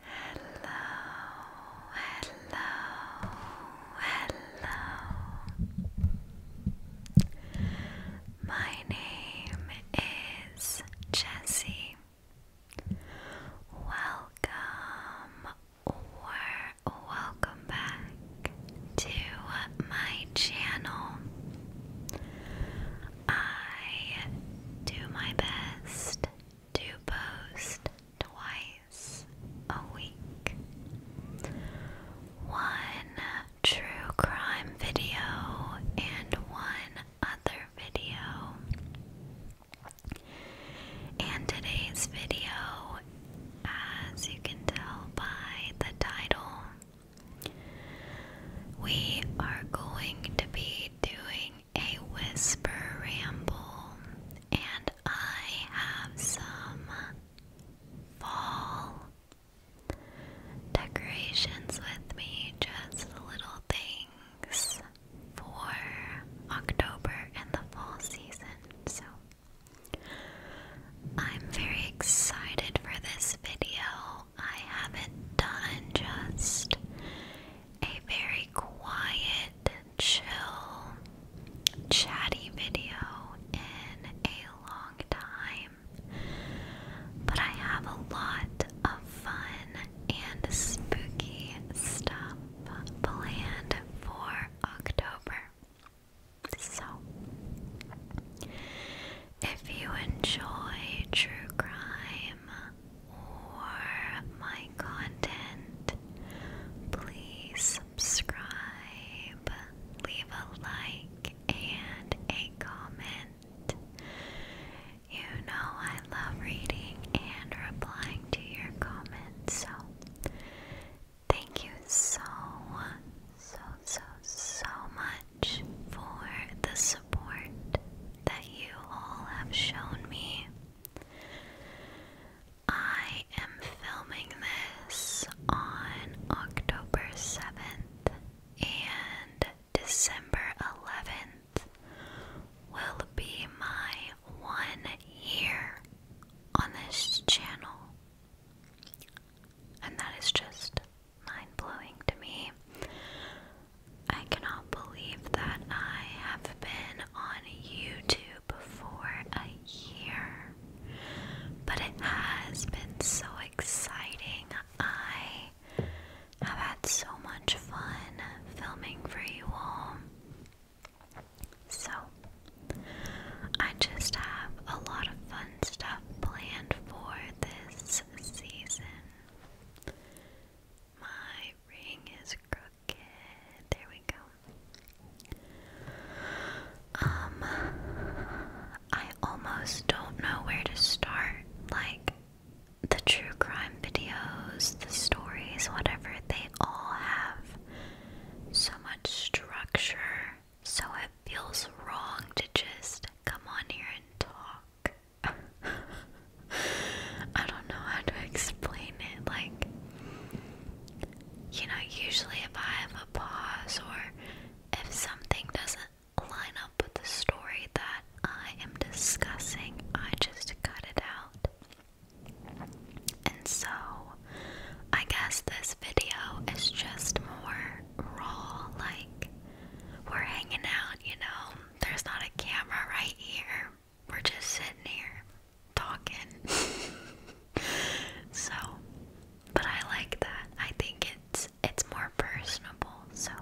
hello, hello. My name is Jessie. Welcome or welcome back to my channel. I do my best do post twice a week. One true crime video and one other video. And today's video, as you can tell by the title, we are going to be doing a whisper ramble, and I have some fall decorations with me, just little things for October and the fall season. So I'm very excited for this video. I haven't done just a very quiet, chill, chatty video in a long time. But I have a lot of fun and spooky stuff planned for October. So, if you enjoy true crime, more my content, please subscribe, leave a like, and a comment. You know I love reading and replying to your comments, so thank you so, so, so, so much for the support that you all have shown me. I am filming this on October 7th and December 11th will be my one year on this channel. And that is just mind blowing to me. I cannot believe that I have been on YouTube for a year, but it has been so exciting. I have had so much fun filming for you all. So, I just have a lot of fun stuff planned for this season. My ring is crooked. There we go. Um, I almost don't know where to start. Like, the true crime videos, the stories, whatever, they all have so much structure, so it feels wrong to just come on here and talk. I don't know how to explain it. Like, you know, usually if I have a pause or if something doesn't line up with the story that I am discussing, I just cut it out. And so, I guess this video is just more raw, like we're hanging out, you know. There's not a camera right here we're just sitting here talking. so, but I like that. I think it's it's more personable. So,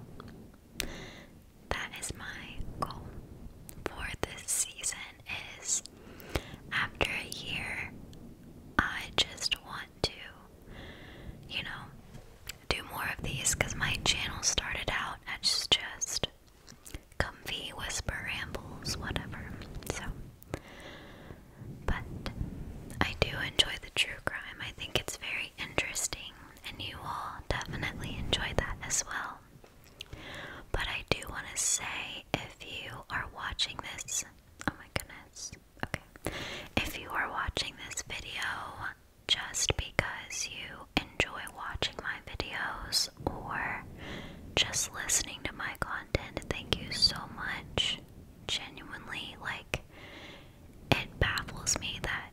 that is my goal for this season is after a year I just want to you know do more of these cuz my channel started out as just comfy whisper rambles, whatever. So, but I do enjoy the true crime. I think it's very interesting, and you will definitely enjoy that as well. But I do want to say if you are watching this, oh my goodness, okay, if you are watching this video just because you enjoy watching my videos or just listening to my content. Thank you so much. Genuinely, like, it baffles me that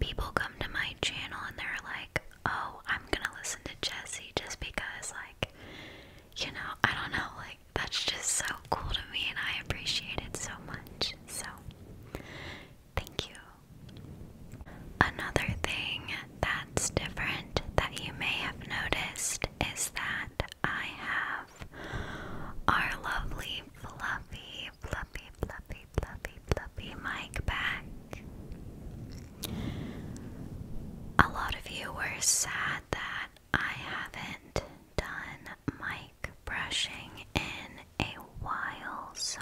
people come to my channel and they're like, oh, I'm gonna listen to Jesse just because, like, you know, I don't know, like, that's just so cool to me and I appreciate it so much. So, thank you. Another thing that's different that you may have noticed is that I have our lovely fluffy, fluffy, fluffy, fluffy, fluffy mic back. A lot of you were sad that I haven't done mic brushing in a while, so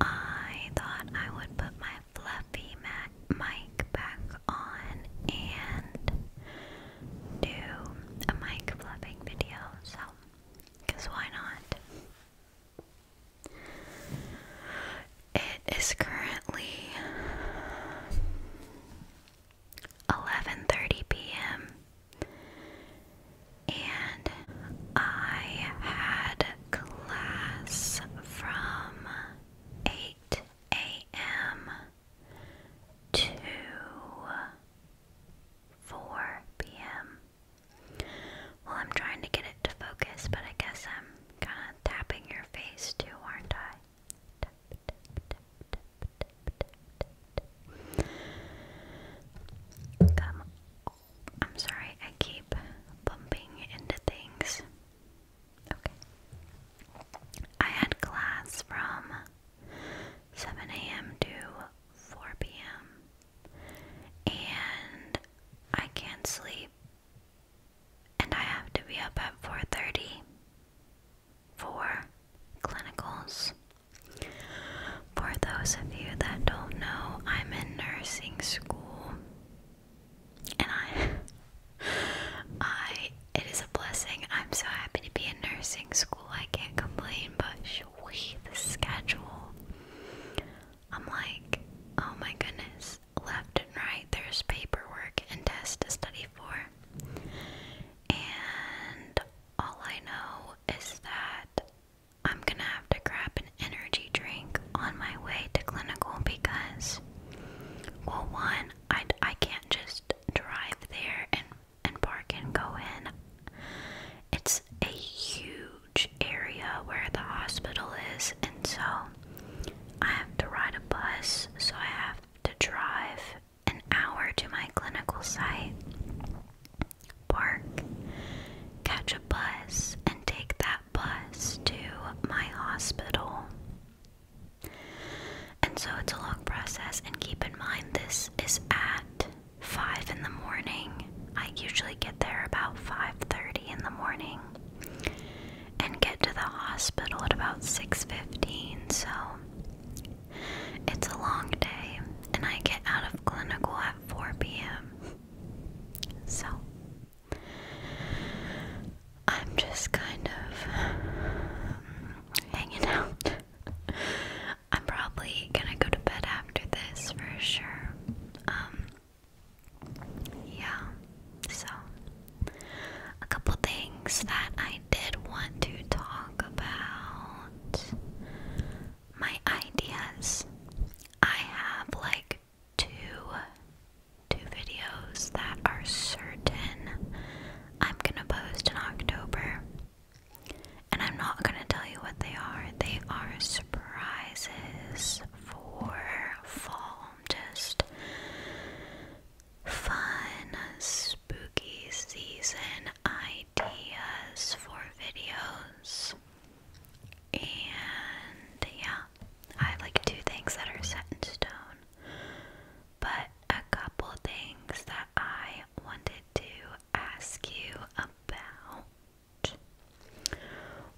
I thought I would put my fluffy mac mic back on and do a mic fluffing video, so because why not? It is currently 11:30 p.m and I had class from 8 a.m. to 4 p.m. Well, I'm trying to get it to focus, but I guess I'm kind of tapping your face too, aren't I? Tap, tap, I'm sorry, I keep bumping into things. Okay. I had class from 7 a.m. to 4 p.m. and I can't sleep and I have to be up at 4:30 for clinicals. For those of you that don't know, I'm in nursing school. And I I it is a blessing. I'm so happy to be in nursing school. I can't complain, but we the schedule. I'm like, oh my goodness. Left and right there's paperwork and tests to study for. And all I know is that I'm gonna have to grab an energy drink on my way to clinical because, well, one, I, I can't just drive there and, and park and go in. It's a huge area where the hospital is, and so I have to ride a bus, so I have to drive an hour to my clinical site park, catch a bus, and take that bus to my hospital. And so it's a long process, and keep in mind this is at 5 in the morning. I usually get there about 5:30 in the morning and get to the hospital at about 6:15. So it's a long day and I get out of clinical at 4 p.m. So, I'm just kind of hanging out. I'm probably gonna go to bed after this for sure. Um, yeah, so a couple things that I did want to talk about my ideas. I have like two two videos that are certain I'm gonna post in October. And I'm not gonna tell you what they are. They are surprises for fall. Just fun, spooky season ideas for videos. And yeah, I have like two things that are set in stone, but a couple things that I wanted to ask you about.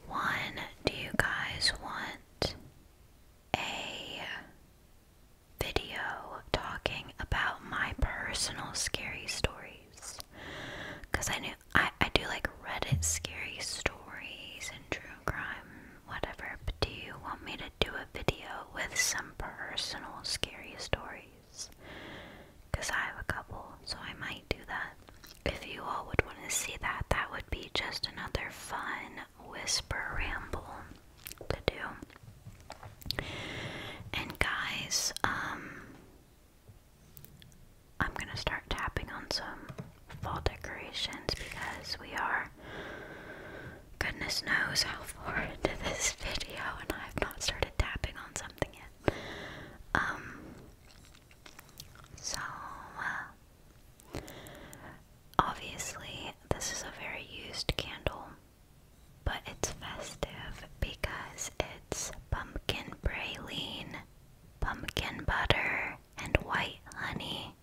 One, do you guys want a video talking about my personal scary stories? Because I knew I, I do like Reddit scary stories and true crime, whatever, but do you want me to do a video with some personal scary stories? Because I have a couple, so I might do that. If you all would want to see that, that would be just another fun whisper ramble to do. And guys, um, I'm going to start tapping on some fall decorations because we are goodness knows how far into this video and I have not started tapping on something yet. Um so uh, obviously this is a very used candle but it's festive because it's pumpkin praline pumpkin butter, and white honey.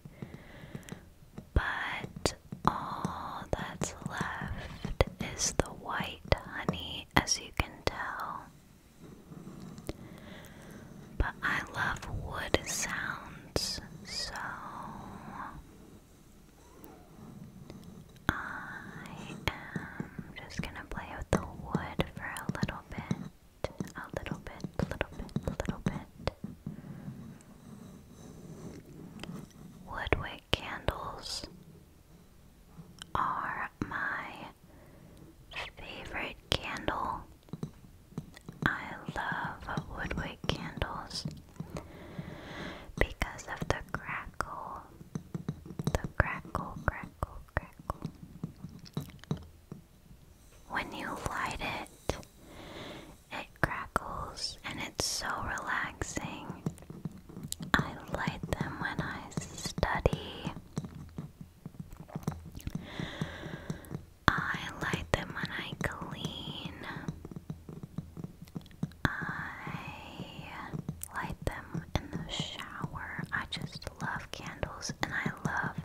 But all that's left is the white honey, as you can tell. But I love wood sounds, so I am just gonna play with the wood for a little bit a little bit, a little bit, a little bit. Woodwick candles are my favorite candle. I love woodwick candles because of the crackle, the crackle, crackle, crackle when you light it, it crackles and it's so relaxing. I light them when I study. I light them when I clean. I light them in the shower. I just just love candles and I love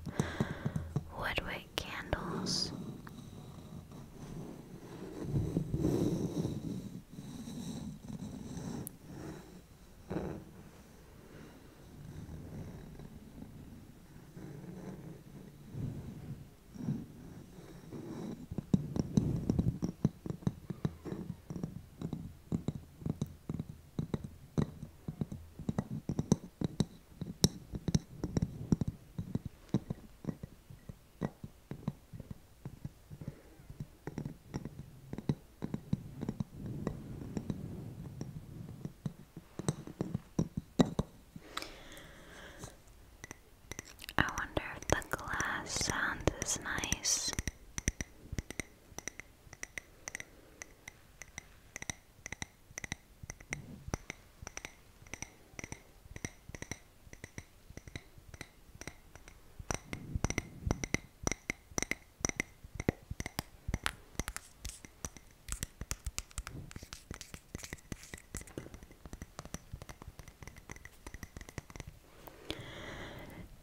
woodwick candles. I wonder if the glass sound is nice.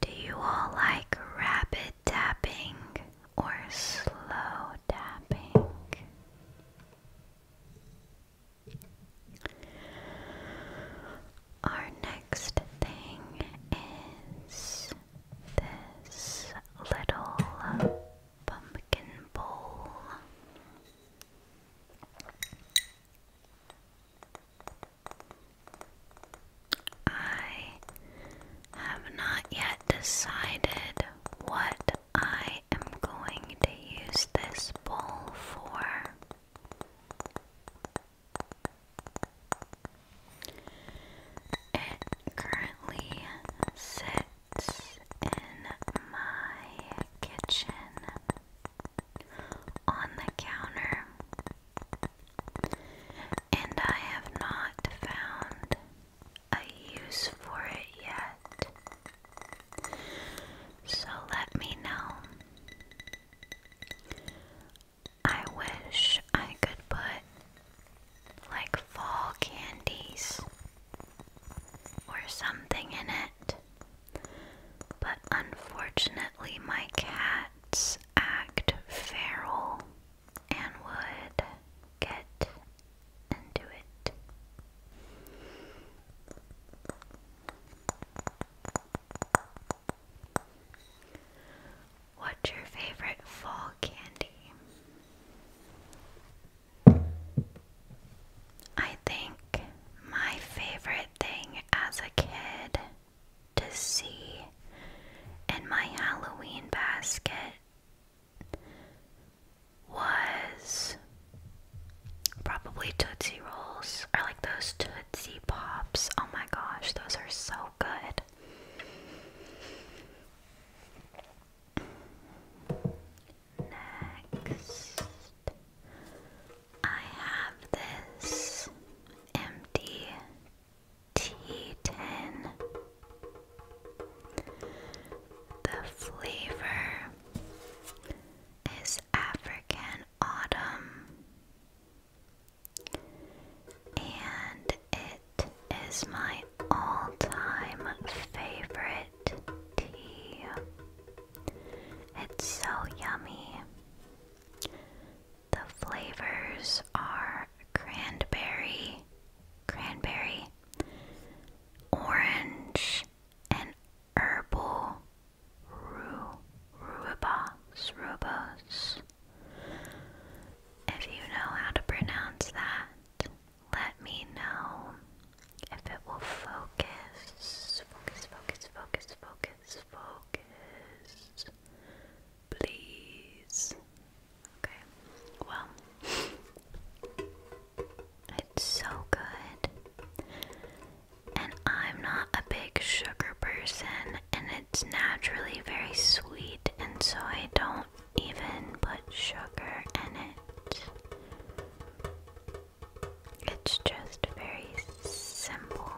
Do you all like rabbit tapping or slow tapping. Our next thing is this little pumpkin bowl. I have not yet decided what I am going to use this bowl for. It currently sits in my kitchen on the counter and I have not found a use for it yet. So let me know. I wish I could put like fall candies or something in it, but unfortunately, my cats act feral and would get into it. What's your favorite fall candy? I think my favorite thing as a kid to see in my Halloween basket was probably Tootsie Rolls or like those Tootsie Pops. Oh my gosh, those are so good. Next, I have this empty T10. The flavor is African Autumn, and it is my all time favorite tea. It's so yummy. The flavors are are cranberry, cranberry, orange, and herbal rhu rhubarb, rubos. If you know how to pronounce that, let me know if it will focus. Focus, focus, focus, focus, focus please. Okay, well, it's so good. And I'm not a big sugar person, and it's naturally very sweet, and so I don't even put sugar in it. It's just very simple.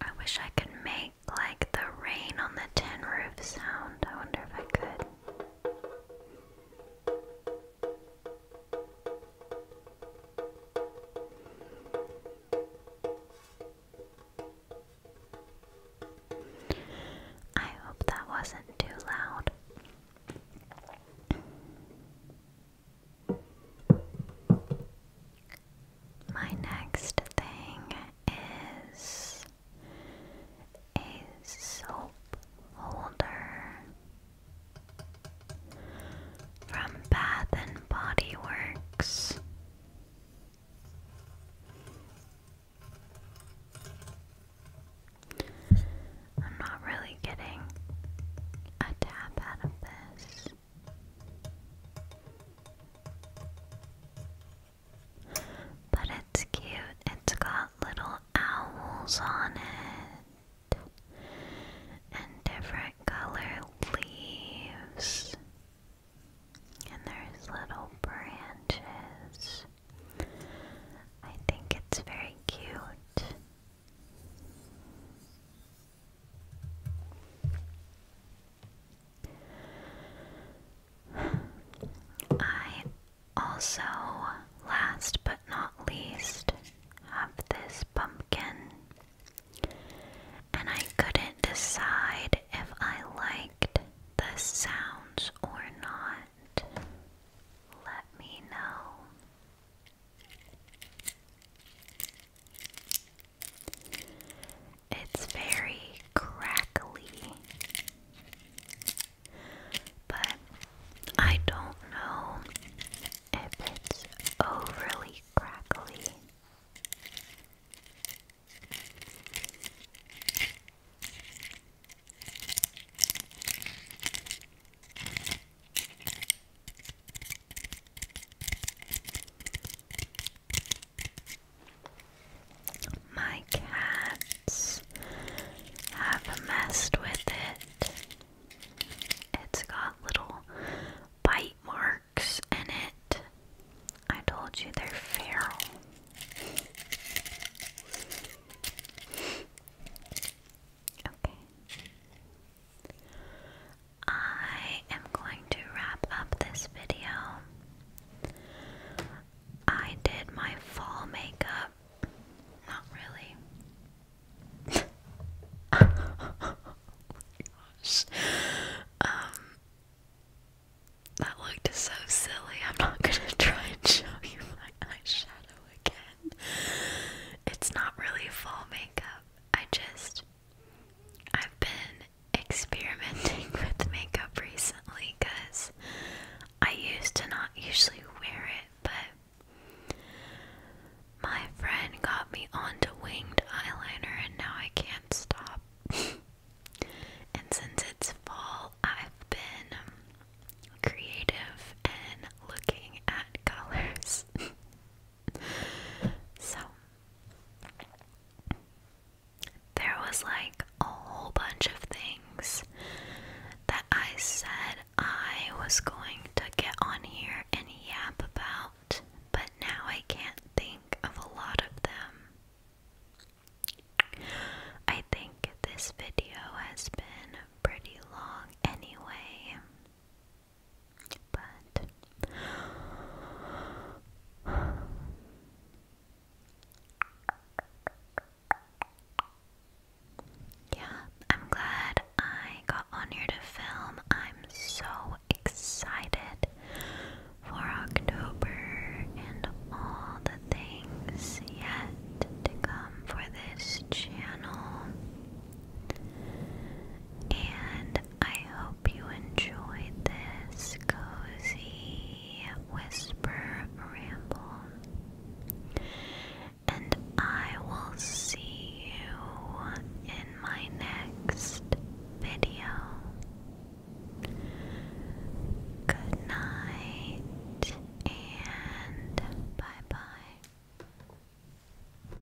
I wish I could make like the rain on the tin roof sound. I wonder if I could. I hope that wasn't too loud. My next thing is a soap holder from Bath and Body Works. I'm not really getting a tap out of but it's cute. It's got little owls on it and different color leaves. And there's little branches. I think it's very cute. I also, last but not least, have this pumpkin, and I couldn't decide if I liked the sounds or not. Let me know. It's very crackly, but I don't know if it's overly crackly. My cats have messed with it. It's got little bite marks in it. I told you they're feral. Okay. I am going to wrap up this video. I did my fall makeup. Not really. Um, that looked so silly. I'm not gonna try and show you my eyeshadow again. It's not really fall makeup. I just I've been experimenting with makeup recently cuz I used to not usually wear it, but my friend got me onto winged eyeliner and now I can't stop. and since it's fall, I've been creative and looking at colors so there was like a whole bunch of things that I said I was going to get on here and yap about, but now I can't think of a lot of them. I think this video has been pretty long anyway. But yeah, I'm glad I got on here to film. I'm so excited for October and all the things yet to come for this channel. And I hope you enjoyed this cozy whisper ramble. And I will see you in my next video. Good night and bye bye.